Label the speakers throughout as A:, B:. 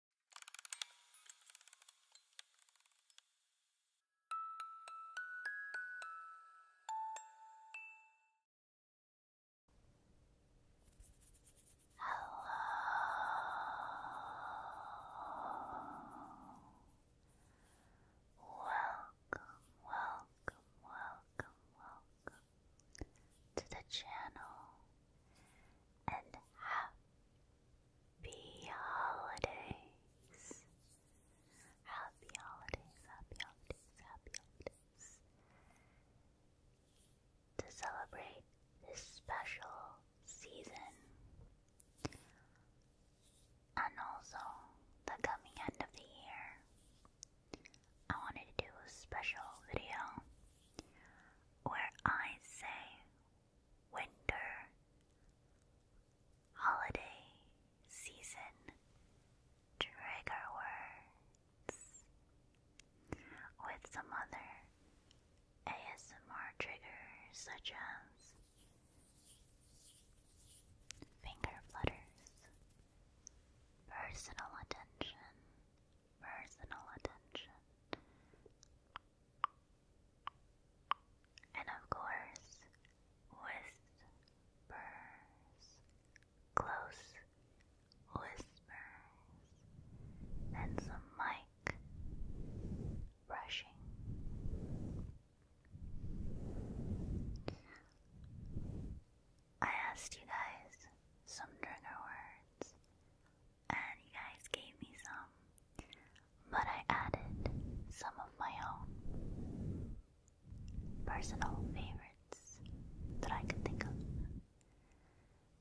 A: Hello. Welcome, welcome, welcome, welcome to the channel and happy, Happy holidays. Happy holidays, happy holidays, happy holidays. To celebrate this special season and also the coming end of the year, I wanted to do a special video where I say winter, holiday season, trigger words, with some other ASMR triggers such as finger flutters, personal attention personal attention. And of course, whispers, close whispers, then some mic brushing. I asked you guys some trigger words and you guys gave me some, but I added some of my own personal favorites that I could think of.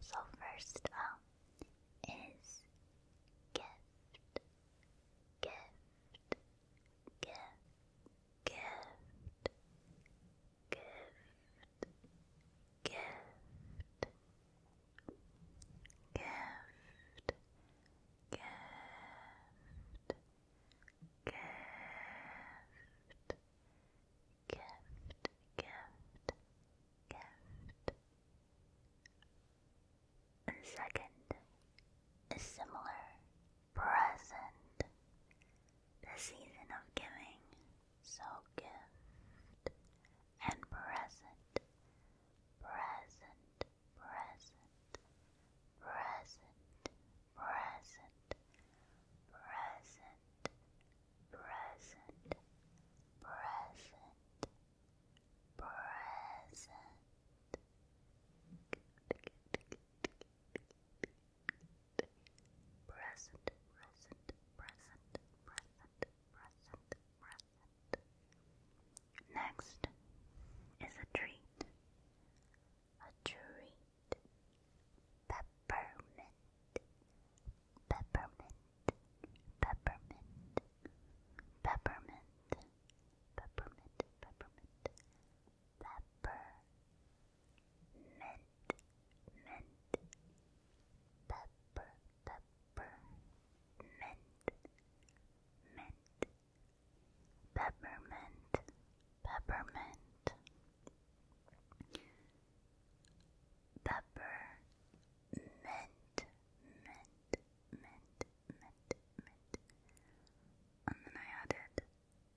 A: So, first up um, is gift, gift, gift, gift, gift, gift, gift, gift, gift, gift, gift, gift. And second, a similar present. The season of giving so gift and present, present, present, present, present, present, present, present, present. Present, present, present, present, Next is a treat. A treat. Peppermint. Peppermint. Peppermint. Peppermint. Peppermint. Peppermint. Peppermint mint, pepper, pepper, mint, mint, peppermint, peppermint, pepper, mint, mint, mint, mint, mint, and then I added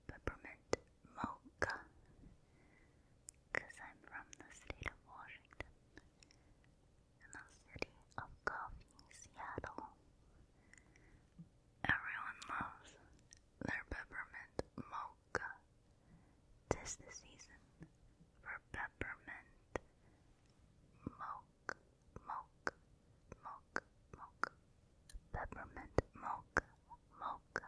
A: peppermint mocha. Cause I'm from the state of Washington. In the city of coffee, Seattle. Everyone loves their peppermint mocha. Tis the season for peppermint mocha, mocha, mocha, mocha. Peppermint mocha, mocha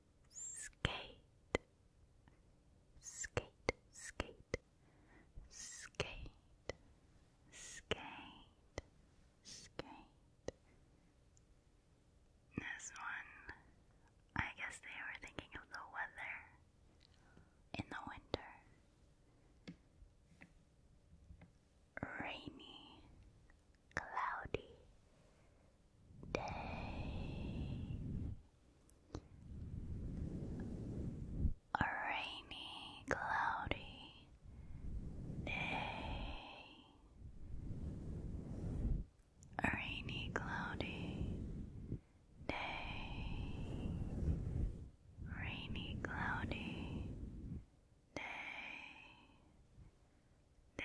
A: skate, skate, skate, skate, skate, skate. This one, I guess they were thinking of the weather in the winter. Rainy, cloudy day, a rainy, cloudy day, rainy, cloudy day, rainy, cloudy day. Day,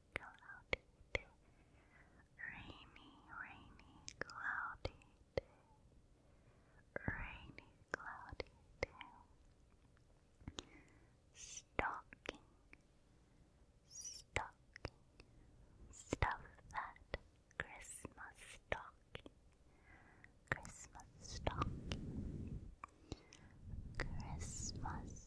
A: cloudy Rainy, rainy, cloudy Rainy, cloudy day. Stocking, stocking, stuff that Christmas stocking, Christmas stocking, Christmas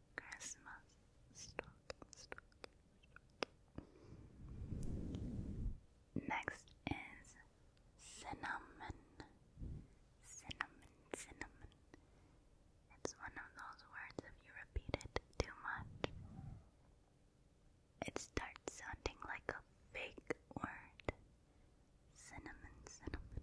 A: Christmas stocking, stocking, Next is cinnamon. Cinnamon, cinnamon. It's one of those words if you repeat it too much. It starts sounding like a fake word. Cinnamon, cinnamon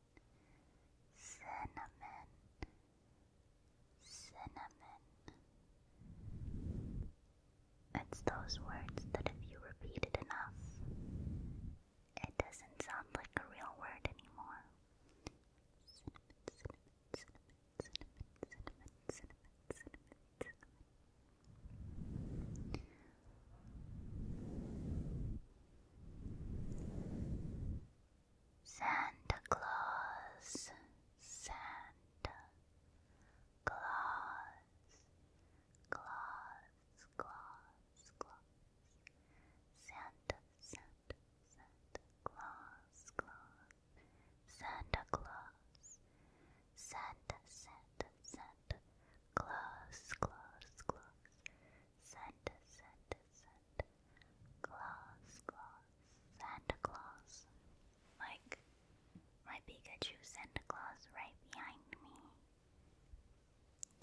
A: cinnamon, cinnamon. It's those words that if you repeat it enough, it doesn't sound like a real word anymore. Cinnamon, cinnamon, cinnamon, cinnamon, cinnamon, cinnamon, cinnamon. Santa Claus, Santa Claus, Claus, Claus, Claus, Santa, Santa, Santa Claus, Claus, Santa Claus, Santa, Santa, Santa Claus, Claus, Claus, Santa, Santa, and Claus, Claus, Santa Claus. Like my Pikachu Santa Claus right behind me.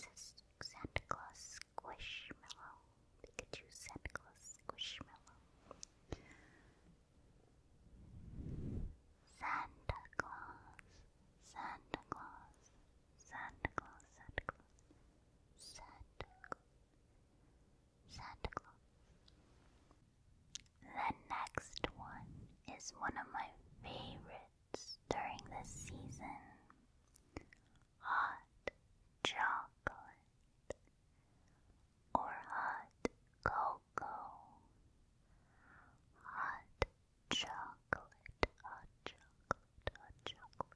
A: It says Santa Claus Squishmallow. Pikachu Santa Claus Squishmallow. Santa Claus, Santa Claus, Santa Claus, Santa Claus, Santa Claus, Santa Claus. The next one is one of my favorites during this season hot chocolate or hot cocoa. Hot chocolate, hot chocolate, hot chocolate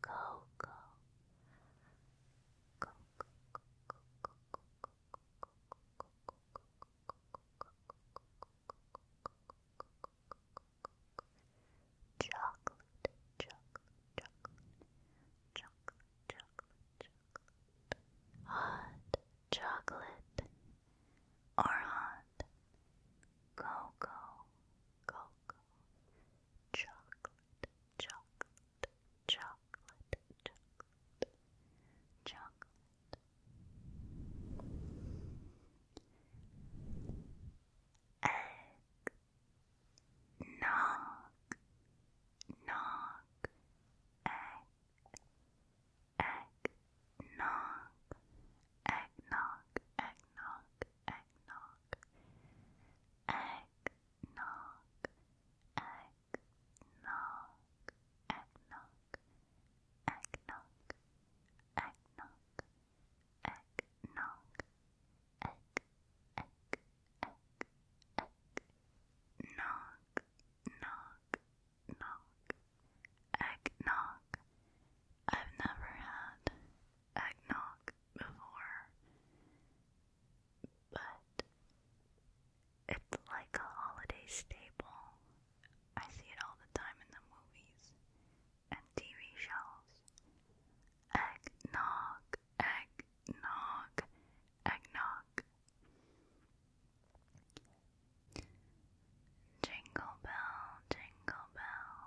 A: Coco. Coco. Chocolate, chocolate, chocolate, chocolate, chocolate, chocolate, hot chocolate or hot cocoa, cocoa, chocolate, chocolate, chocolate, chocolate, Egg, knock, knock, egg, egg, knock, egg, knock, egg, knock, egg, knock, egg. Egg knock, egg knock, egg knock, egg knock, egg knock, egg egg, egg, egg, egg, knock, knock, egg knock. I've never had eggnog before, but it's like a holiday staple. I see it all the time in the movies and TV shows. Eggnog, eggnog, eggnog. Jingle bell, jingle bell.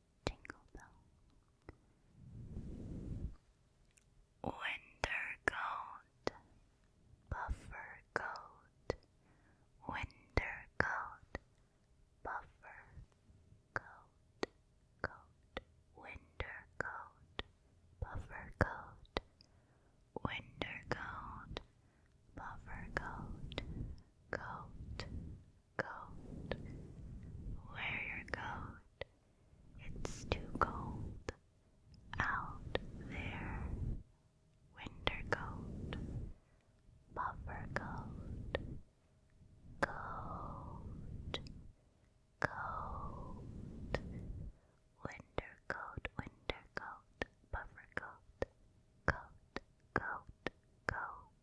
A: Jingle bell. Winter coat. Buffer coat. Winter coat. Buffer coat. Coat. Winter coat. Buffer coat. Winter coat. Buffer coat. Coat coat. Wear your coat. It's too cold out there. Winter coat. Buffer coat. Coat. Coat. Winter coat. Winter coat. Buffer coat. Coat. Coat. Coat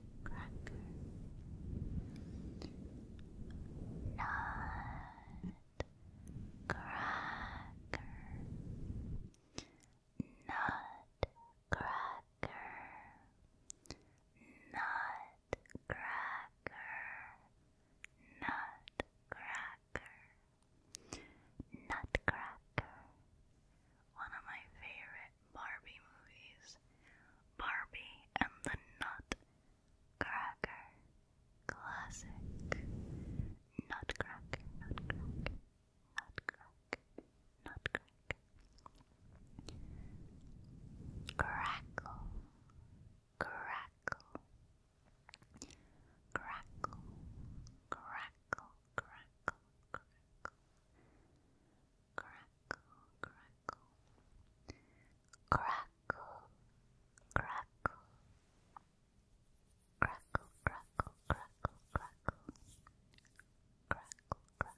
A: nutcracker. Nutcracker. Nutcracker. Nutcracker. Nutcracker. Nutcracker. One of my favorite Barbie movies. Barbie and the Nut Cracker, classic. Nutcracker, nutcracker, nutcracker, nutcracker. Crackle, crackle, crackle, crackle, crackle, crackle crackle, crackle, crackle, crackle, crackle, crackle, crackle, crackle, crackle, crackle, crackle, crackle, crackle, crackle, crackle, crackle,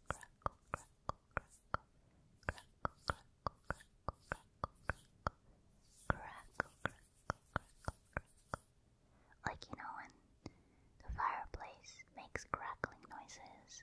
A: crackle, crackle, crackle, like you know when the fireplace makes crackling noises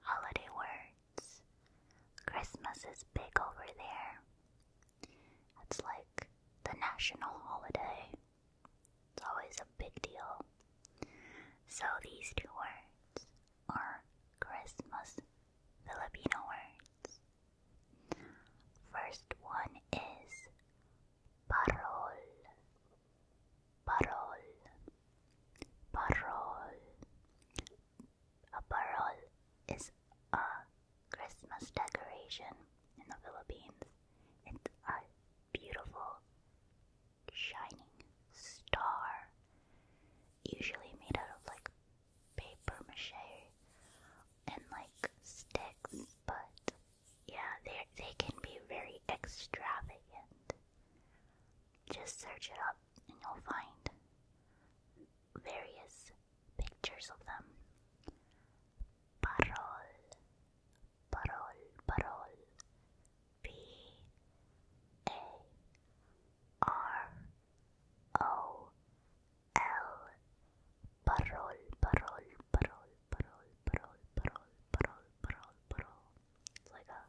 A: holiday words. Christmas is big over there. It's like the national holiday. It's always a big deal. So these two words are Christmas Filipino words. First one is parol parole, parole. A parole is a Christmas decoration in the Philippines. It's a beautiful, shining star, usually made out of like paper mache and like sticks, but yeah, they they can be very extravagant. Just search it up and you'll find various pictures of them. Parol, parol, parol. P A R O L. Parol, parol, parol, parol, parol, parol, parol, parol, parol. It's like a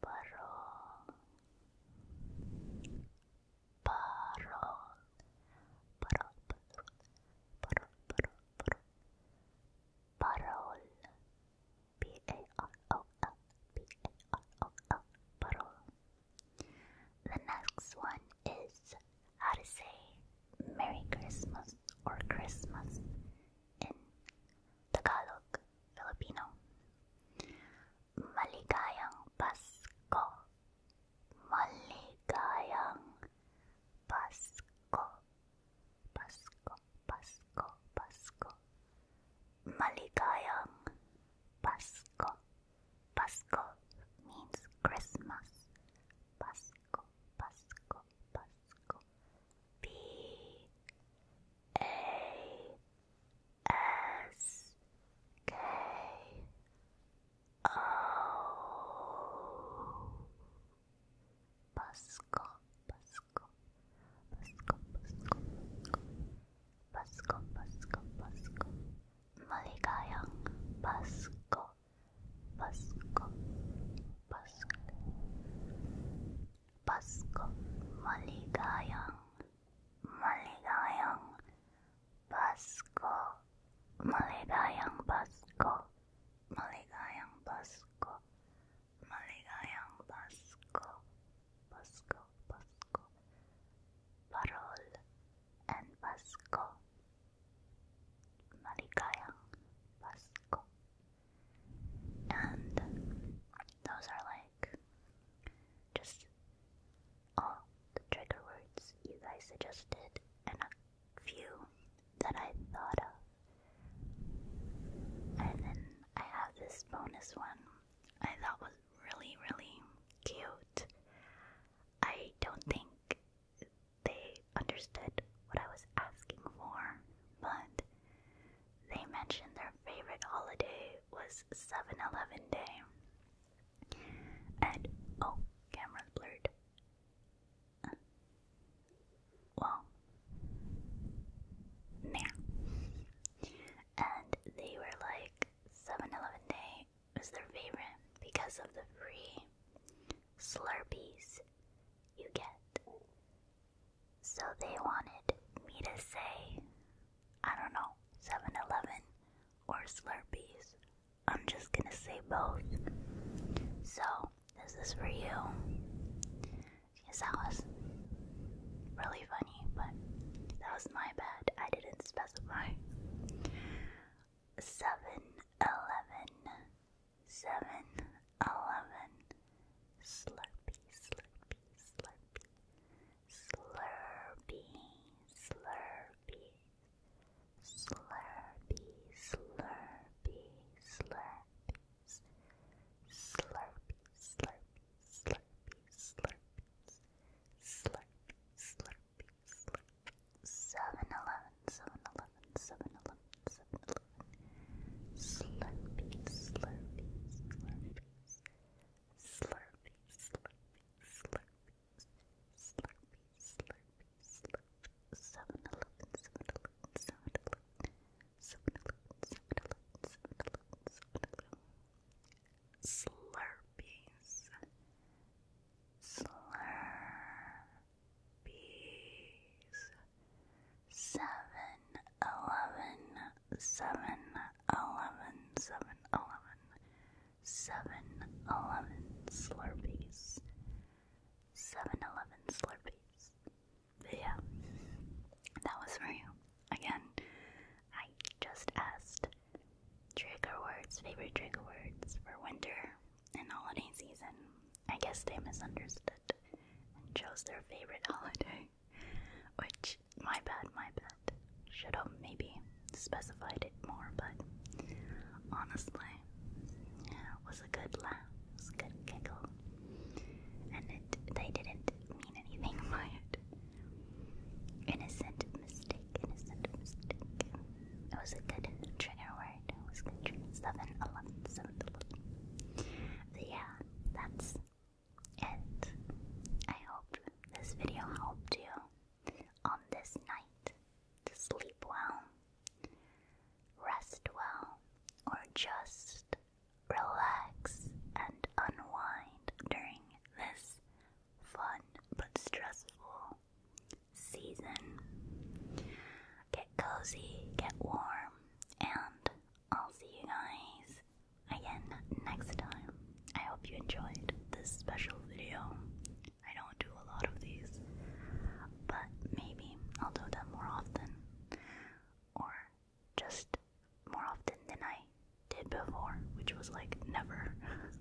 A: Parol, parol, parol, parol, parol, parol, parol, p a r o l, p a r o l, parol. The next one is how to say Merry Christmas or Christmas in Tagalog, Filipino. Maligayang Pasko. Maligayang Pasko. Pasko, Pasko, Pasko. Maligayang Pasko. Pasko means Christmas. Pasko, Pasko, Pasko. Pascal. P A S K O Pascal, Pascal, Pascal, Pascal, Pascal, Pascal, Pascal. Maligayang Pascal, Pascal, Paskong maligayang, maligayang Pasko, maligayang Pasko, maligayang Pasko, maligayang Pasko, Pasko, Pasko, Parol and Pasko, maligayang Pasko. And those are like just all the trigger words you guys suggested and a few that I thought of. And then I have this bonus one I thought was really, really cute. I don't think they understood what I was asking for, but they mentioned their favorite holiday was 7 Eleven Day. And oh, camera's blurred. well, nah. And they were like, 7 Eleven Day was their favorite because of the free Slurpees you get so they wanted me to say, I don't know, 7 Eleven or Slurpees. I'm just gonna say both. So, this is for you. Because that was really funny, but that was my bad. I didn't specify. 7 Eleven seven, eleven, slurpy, slurpy, slurpy, slurpy, slurpy, slurpy, slurpy, slurpy, slurpy, slurpy, slurpy, slurpy, slurpy, slurpy, slurpy, seven, eleven, seven, eleven. Eleven, Seven Eleven, Seven Eleven. Slurpee, Slurpee, Slurpees. Slurpee, Slurpee, Slurpees. Slurpee, Slurpee, Slurpee. Seven Eleven, Seven Eleven, Seven Eleven. Seven Eleven, Seven Eleven, Seven Eleven, Seven Eleven. Slurpees. Slurpees seven eleven seven eleven seven eleven seven eleven slurpees seven eleven slurpees yeah that was for you again I just asked trigger words favorite trigger words for winter and holiday season I guess they misunderstood and chose their favorite holiday, which, my bad, my bad. Should have maybe specified it more, but honestly, yeah, it was a good laugh, it was a good giggle, and it, they didn't mean anything by it. Innocent mistake, innocent mistake. It was a good trigger word. It was good trigger stuff, and I yeah, that's it. I hope this video helped you on this night sleep well, rest well, or just relax and unwind during this fun but stressful season get cozy, get warm, and I'll see you guys again next time. I hope you enjoyed this special video. I don't do a lot of these, but maybe I'll do them more often, or just more often than I did before, which was like never.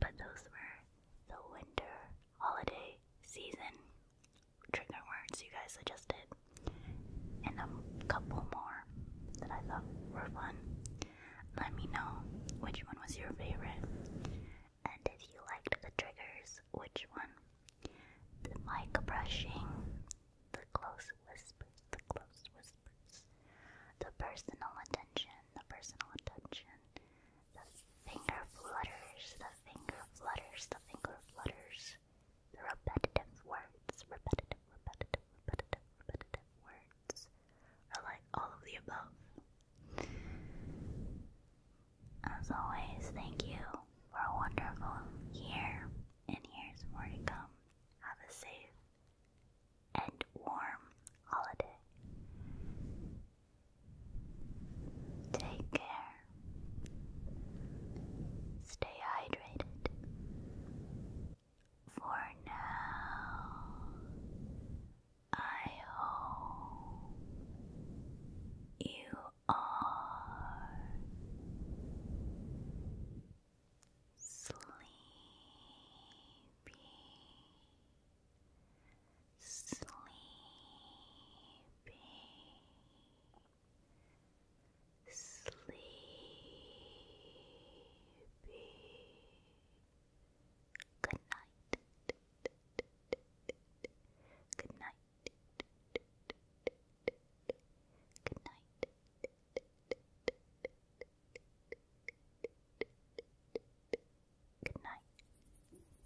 A: but those were the winter holiday season trigger words you guys suggested, and a couple more that I thought were fun. Let me know which one was your favorite, and if you liked the triggers, which one? The mic brushing, the close whispers, the close whispers, the personal attention, the personal attention, the finger flutters, the finger flutters, the finger flutters. The repetitive words, repetitive, repetitive, repetitive, words are like all of the above. As always, thank you for a wonderful year, and here's more to come. Have a safe and warm holiday. Take care. Stay hydrated. For now, I hope you are sleepy sleepy, sleepy. Good night. Good night. Good night. Good night.